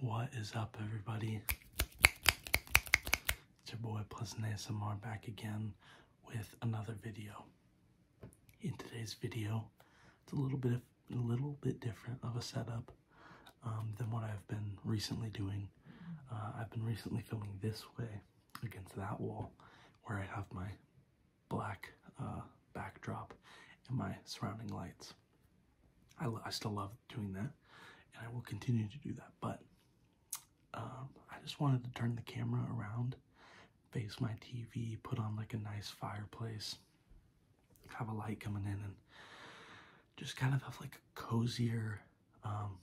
What is up, everybody? It's your boy Pleasant ASMR back again with another video. In today's video, it's a little bit a little bit different of a setup um, than what I've been recently doing. Uh, I've been recently filming this way against that wall, where I have my black uh, backdrop and my surrounding lights. I, I still love doing that, and I will continue to do that. But um, I just wanted to turn the camera around, face my TV, put on like a nice fireplace, have a light coming in, and just kind of have like a cozier, um,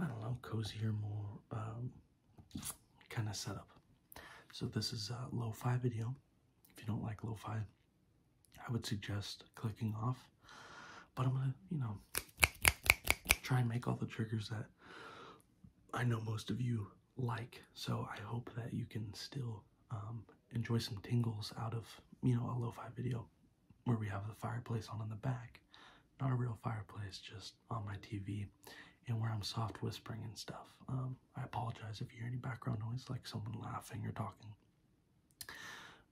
I don't know, cozier, more um, kind of setup. So this is a low fi video. If you don't like low fi I would suggest clicking off. But I'm gonna, you know, try and make all the triggers that I know most of you like. So I hope that you can still um, enjoy some tingles out of, you know, a lo-fi video where we have the fireplace on in the back. Not a real fireplace, just on my TV and where I'm soft whispering and stuff. Um, I apologize if you hear any background noise like someone laughing or talking.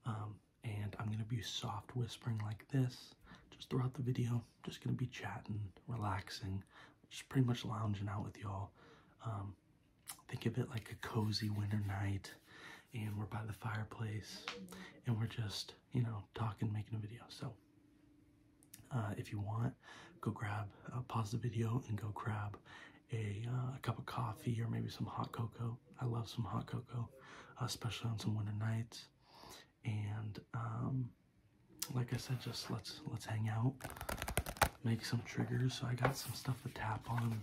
Um, and I'm going to be soft whispering like this just throughout the video. Just going to be chatting, relaxing, just pretty much lounging out with y'all. Um, think of it like a cozy winter night. And we're by the fireplace and we're just, you know, talking, making a video. So uh, if you want, go grab, uh, pause the video and go grab uh, a, cup of coffee or maybe some hot cocoa. I love some hot cocoa, uh, especially on some winter nights. And um, like I said, just let's let's hang out, make some triggers. So I got some stuff to tap on.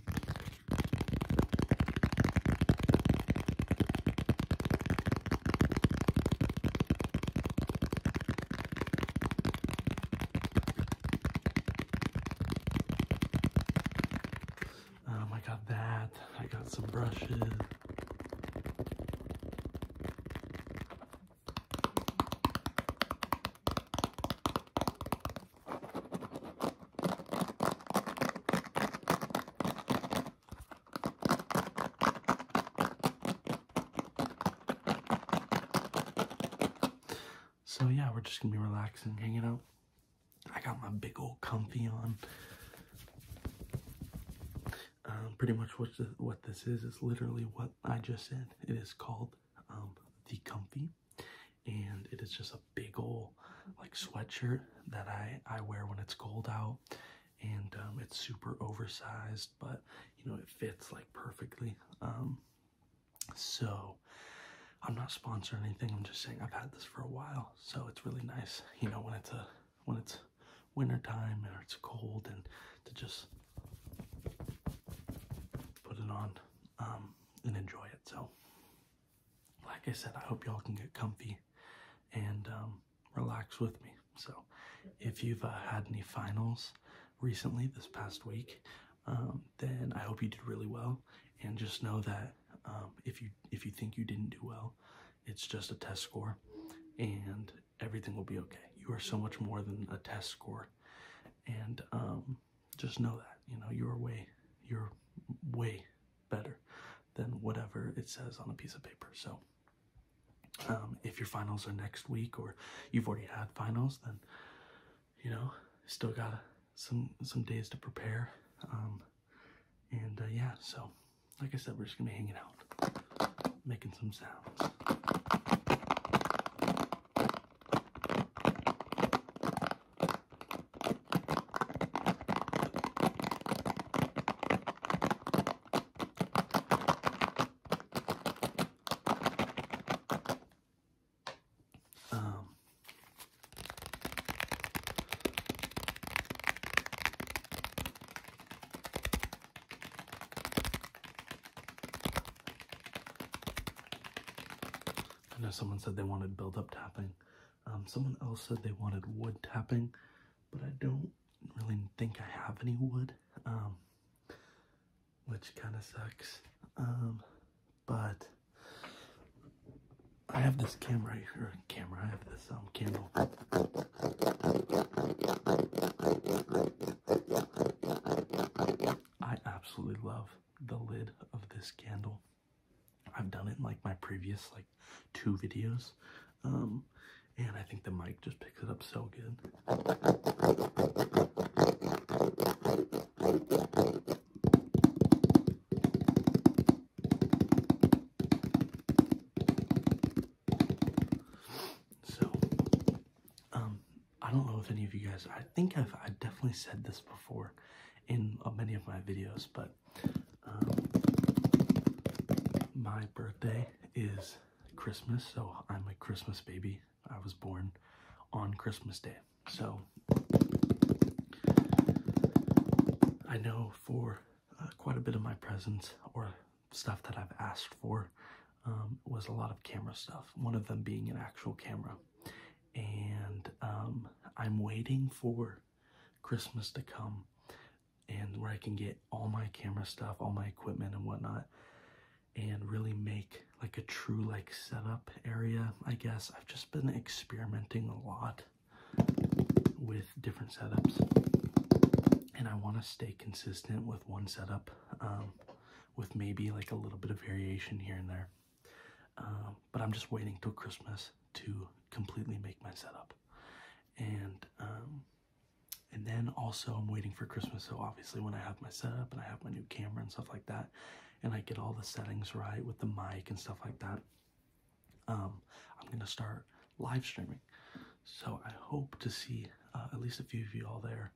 Um, I got that. I got some brushes. So yeah, we're just gonna be relaxing, hanging out. I got my big old comfy on. Um, pretty much what what this is is literally what I just said. It is called um, the comfy, and it is just a big old like sweatshirt that I I wear when it's cold out, and um, it's super oversized, but you know it fits like perfectly. So I'm not sponsoring anything. I'm just saying I've had this for a while, so it's really nice. You know when it's when it's winter time and it's cold, and to just put it on um, and enjoy it. So, like I said, I hope y'all can get comfy and um, relax with me. So, if you've uh, had any finals recently this past week, um, then I hope you did really well. And just know that um, if you if you think you didn't do well, it's just a test score, and everything will be okay. You are so much more than a test score, and um, just know that you know you're way you're way better than whatever it says on a piece of paper. So. if your finals are next week or you've already had finals, then you know, still got some some days to prepare. Um, and uh, yeah, so like I said, we're just gonna be hanging out, making some sounds. Um, I know someone said they wanted build-up tapping. Um, someone else said they wanted wood tapping, but I don't really think I have any wood. Um, which kind of sucks. Um, but I have this camera here. Camera. I have this um candle. I absolutely love the lid of this candle. I've done it in like my previous like two videos. Um, and I think the mic just picks it up so good. So, um, I don't know if any of you guys, I think I've I definitely said this before in uh, many of my videos, but um, my birthday is Christmas, so I'm a Christmas baby. I was born on Christmas Day. So I know for uh, quite a bit of my presents or stuff that I've asked for um, was a lot of camera stuff, one of them being an actual camera. And um, I'm waiting for Christmas to come and where I can get all my camera stuff, all my equipment and whatnot and really make like a true like setup area i guess i've just been experimenting a lot with different setups and i want to stay consistent with one setup um, with maybe like a little bit of variation here and there um, but i'm just waiting till christmas to completely make my setup and um, and then also i'm waiting for christmas so obviously when i have my setup and i have my new camera and stuff like that and I get all the settings right with the mic and stuff like that, um, I'm gonna start live streaming. So I hope to see uh, at least a few of you all there.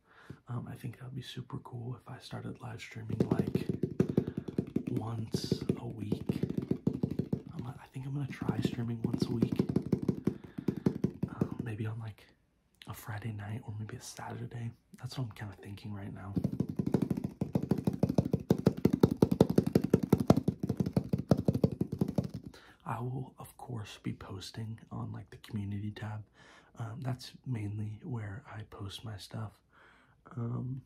Um, I think that would be super cool if I started live streaming like once a week. I think I'm gonna try streaming once a week, um, maybe on like a Friday night or maybe a Saturday. That's what I'm kind of thinking right now. I will, of course, be posting on like the community tab. Um, that's mainly where I post my stuff. Um,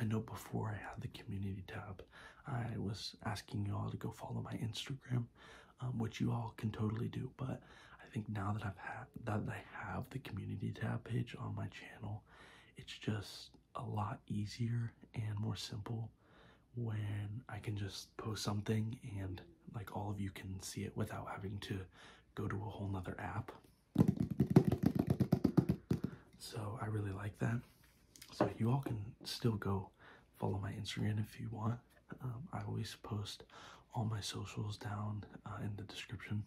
I know before I had the community tab, I was asking you all to go follow my Instagram, um, which you all can totally do, but I think now that I've had that I have the community tab page on my channel, it's just a lot easier and more simple when I can just post something and like all of you can see it without having to go to a whole nother app. So I really like that. So you all can still go follow my Instagram if you want. Um, I always post all my socials down uh, in the description.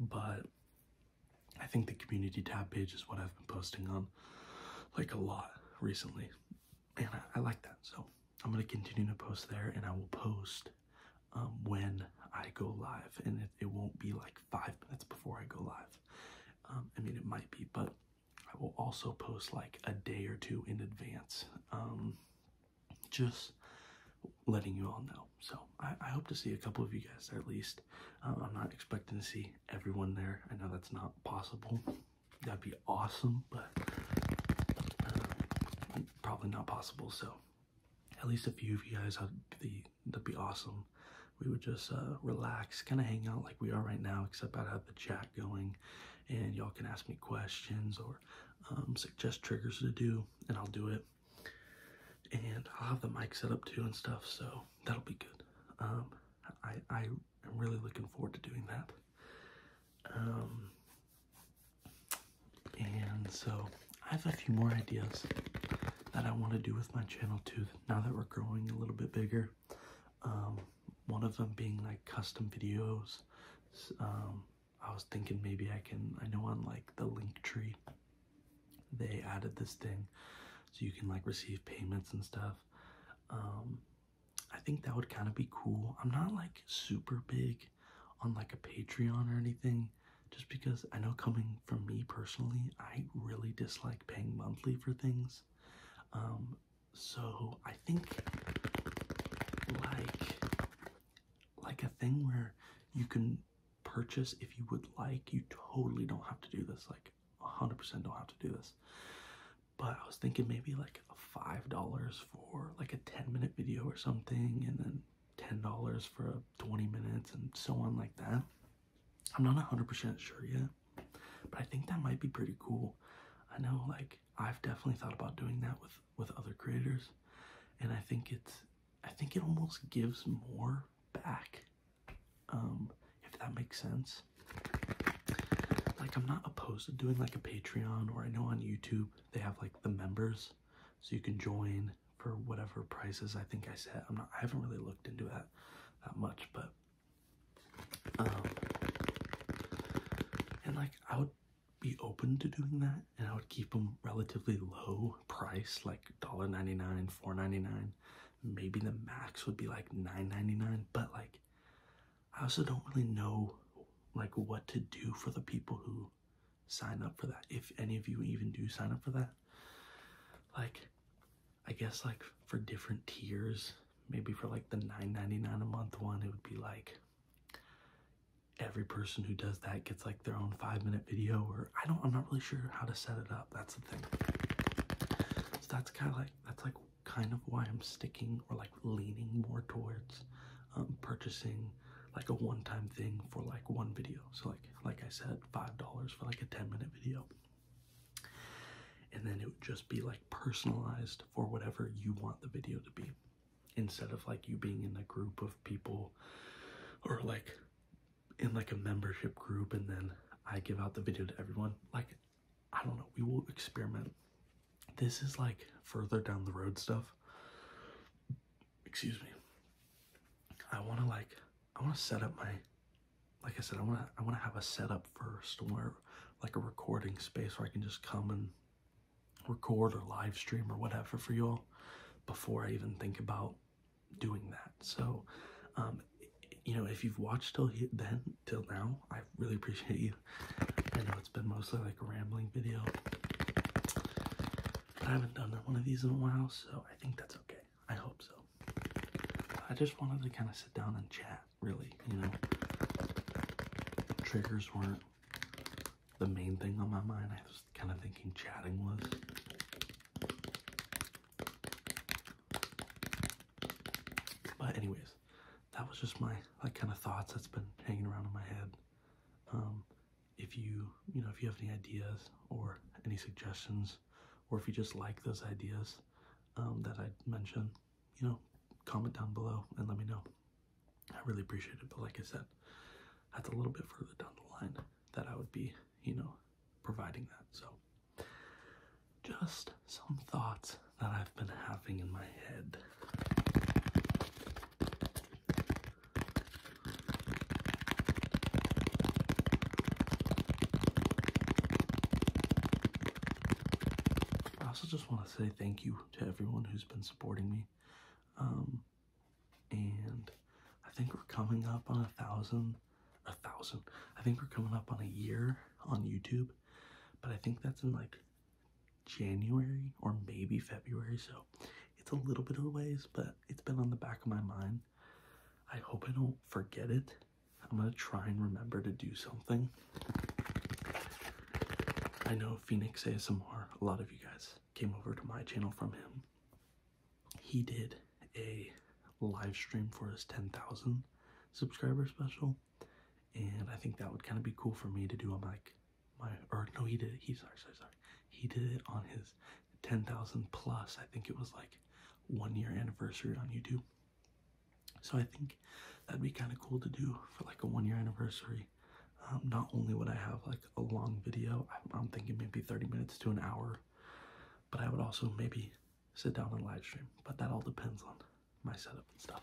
But I think the community tab page is what I've been posting on like a lot recently, and I like that. So I'm going to continue to post there, and I will post um, when I go live, and it, won't be like five minutes before I go live. Um, I mean, it might be, but I will also post like a day or two in advance. Um, just letting you all know. So I, hope to see a couple of you guys at least. I'm not expecting to see everyone there. I know that's not possible. That'd be awesome, but probably not possible. So at least a few of you guys, that'd be, awesome. We would just uh, relax, kind of hang out like we are right now, except I'd have the chat going and y'all can ask me questions or um, suggest triggers to do, and I'll do it. And I'll have the mic set up too and stuff, so that'll be good. Um, I, I am really looking forward to doing that. Um, and so I have a few more ideas that I want to do with my channel too now that we're growing a little bit bigger. Um, one of them being like custom videos. Um, I was thinking maybe I can, I know on like the link tree, they added this thing so you can like receive payments and stuff. Um, I think that would kind of be cool. I'm not like super big on like a Patreon or anything just because I know coming from me personally, I really dislike paying monthly for things. Um, so I think like like a thing where you can purchase if you would like. You totally don't have to do this. Like 100% don't have to do this. But I was thinking maybe like $5 for like a 10 minute video or something and then $10 for 20 minutes and so on like that. I'm not 100% sure yet, but I think that might be pretty cool. I know like I've definitely thought about doing that with with other creators and I think it's I think it almost gives more back um if that makes sense. Like I'm not opposed to doing like a Patreon or I know on YouTube they have like the members so you can join for whatever prices I think I set. I'm not I haven't really looked into that that much, but um, and like I would be open to doing that and I would keep them relatively low price like $1.99, $4.99. Maybe the max would be like $9.99, but like I also don't really know like what to do for the people who sign up for that if any of you even do sign up for that like i guess like for different tiers maybe for like the 9.99 a month one it would be like every person who does that gets like their own 5 minute video or i don't i'm not really sure how to set it up that's the thing so that's kind of like that's like kind of why i'm sticking or like leaning more towards um, purchasing like a one-time thing for like one video. So like like I said, five dollars for like a 10-minute video. And then it would just be like personalized for whatever you want the video to be. Instead of like you being in a group of people or like in like a membership group and then I give out the video to everyone. Like I don't know, we will experiment. This is like further down the road stuff excuse me. I want to like I want to set up my like I said I want to I want to have a setup first where like a recording space where I can just come and record or live stream or whatever for y'all before I even think about doing that. So, um, you know, if you've watched till he, then till now, I really appreciate you. I know it's been mostly like a rambling video, I haven't done one of these in a while, so I think that's okay. I hope so. I just wanted to kind of sit down and chat, really, you know. Triggers weren't the main thing on my mind. I was kind of thinking chatting was. But anyways, that was just my like kind of thoughts that's been hanging around in my head. Um, if you you know if you have any ideas or any suggestions or if you just like those ideas um, that i mentioned you know comment down below and let me know i really appreciate it but like i said that's a little bit further down the line that i would be you know providing that so just some thoughts that i've been having in my head I also just want to say thank you to everyone who's been supporting me. Um, and I think we're coming up on a thousand, a thousand. I think we're coming up on a year on YouTube, but I think that's in like January or maybe February. So it's a little bit of a ways, but it's been on the back of my mind. I hope I don't forget it. I'm gonna try and remember to do something. I know Phoenix ASMR, a lot of you guys came over to my channel from him. He did a live stream for his 10,000 subscriber special, and I think that would kind of be cool for me to do on like my or no, he did. It. He sorry, sorry, sorry. He did it on his ten thousand plus. I think it was like one year anniversary on YouTube. So I think that'd be kind of cool to do for like a one year anniversary. Um, not only would I have like a long video, I'm, I'm thinking maybe 30 minutes to an hour, but I would also maybe sit down and live stream. But that all depends on my setup and stuff.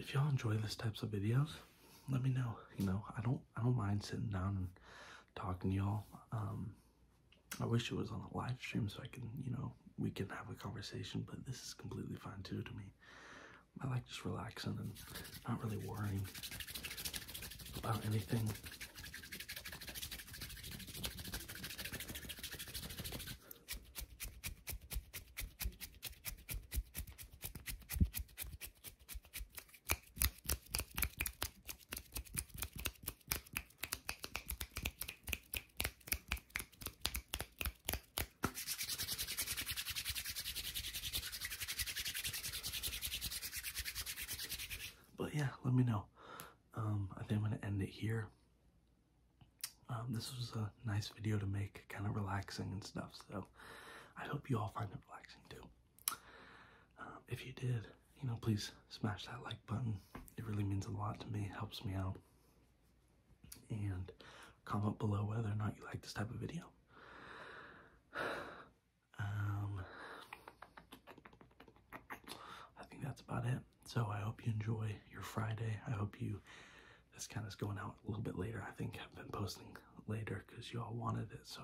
If y'all enjoy this types of videos, let me know. You know, I don't I don't mind sitting down and talking to y'all. Um I wish it was on a live stream so I can, you know, we can have a conversation, but this is completely fine too to me. I like just relaxing and not really worrying about anything. But yeah, let me know. Um, I think I'm gonna end it here. Um, this was a nice video to make, kind of relaxing and stuff. So I hope you all find it relaxing too. Um, if you did, you know, please smash that like button. It really means a lot to me. Helps me out. And comment below whether or not you like this type of video. Um, I think that's about it. So I hope you enjoy your Friday. I hope you. This kind of is going out a little bit later. I think I've been posting later because you all wanted it. So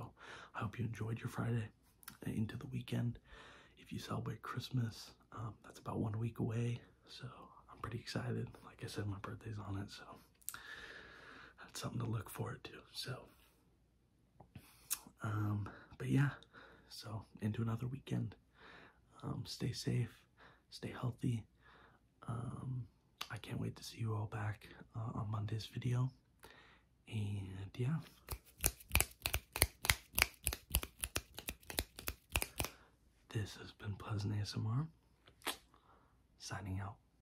I hope you enjoyed your Friday into the weekend. If you celebrate Christmas, um, that's about one week away. So I'm pretty excited. Like I said, my birthday's on it. So that's something to look forward to. So, um, but yeah, so into another weekend. Um, stay safe, stay healthy. Um, I can't wait to see you all back uh, on Monday's video. And yeah. This has been Pleasant ASMR, signing out.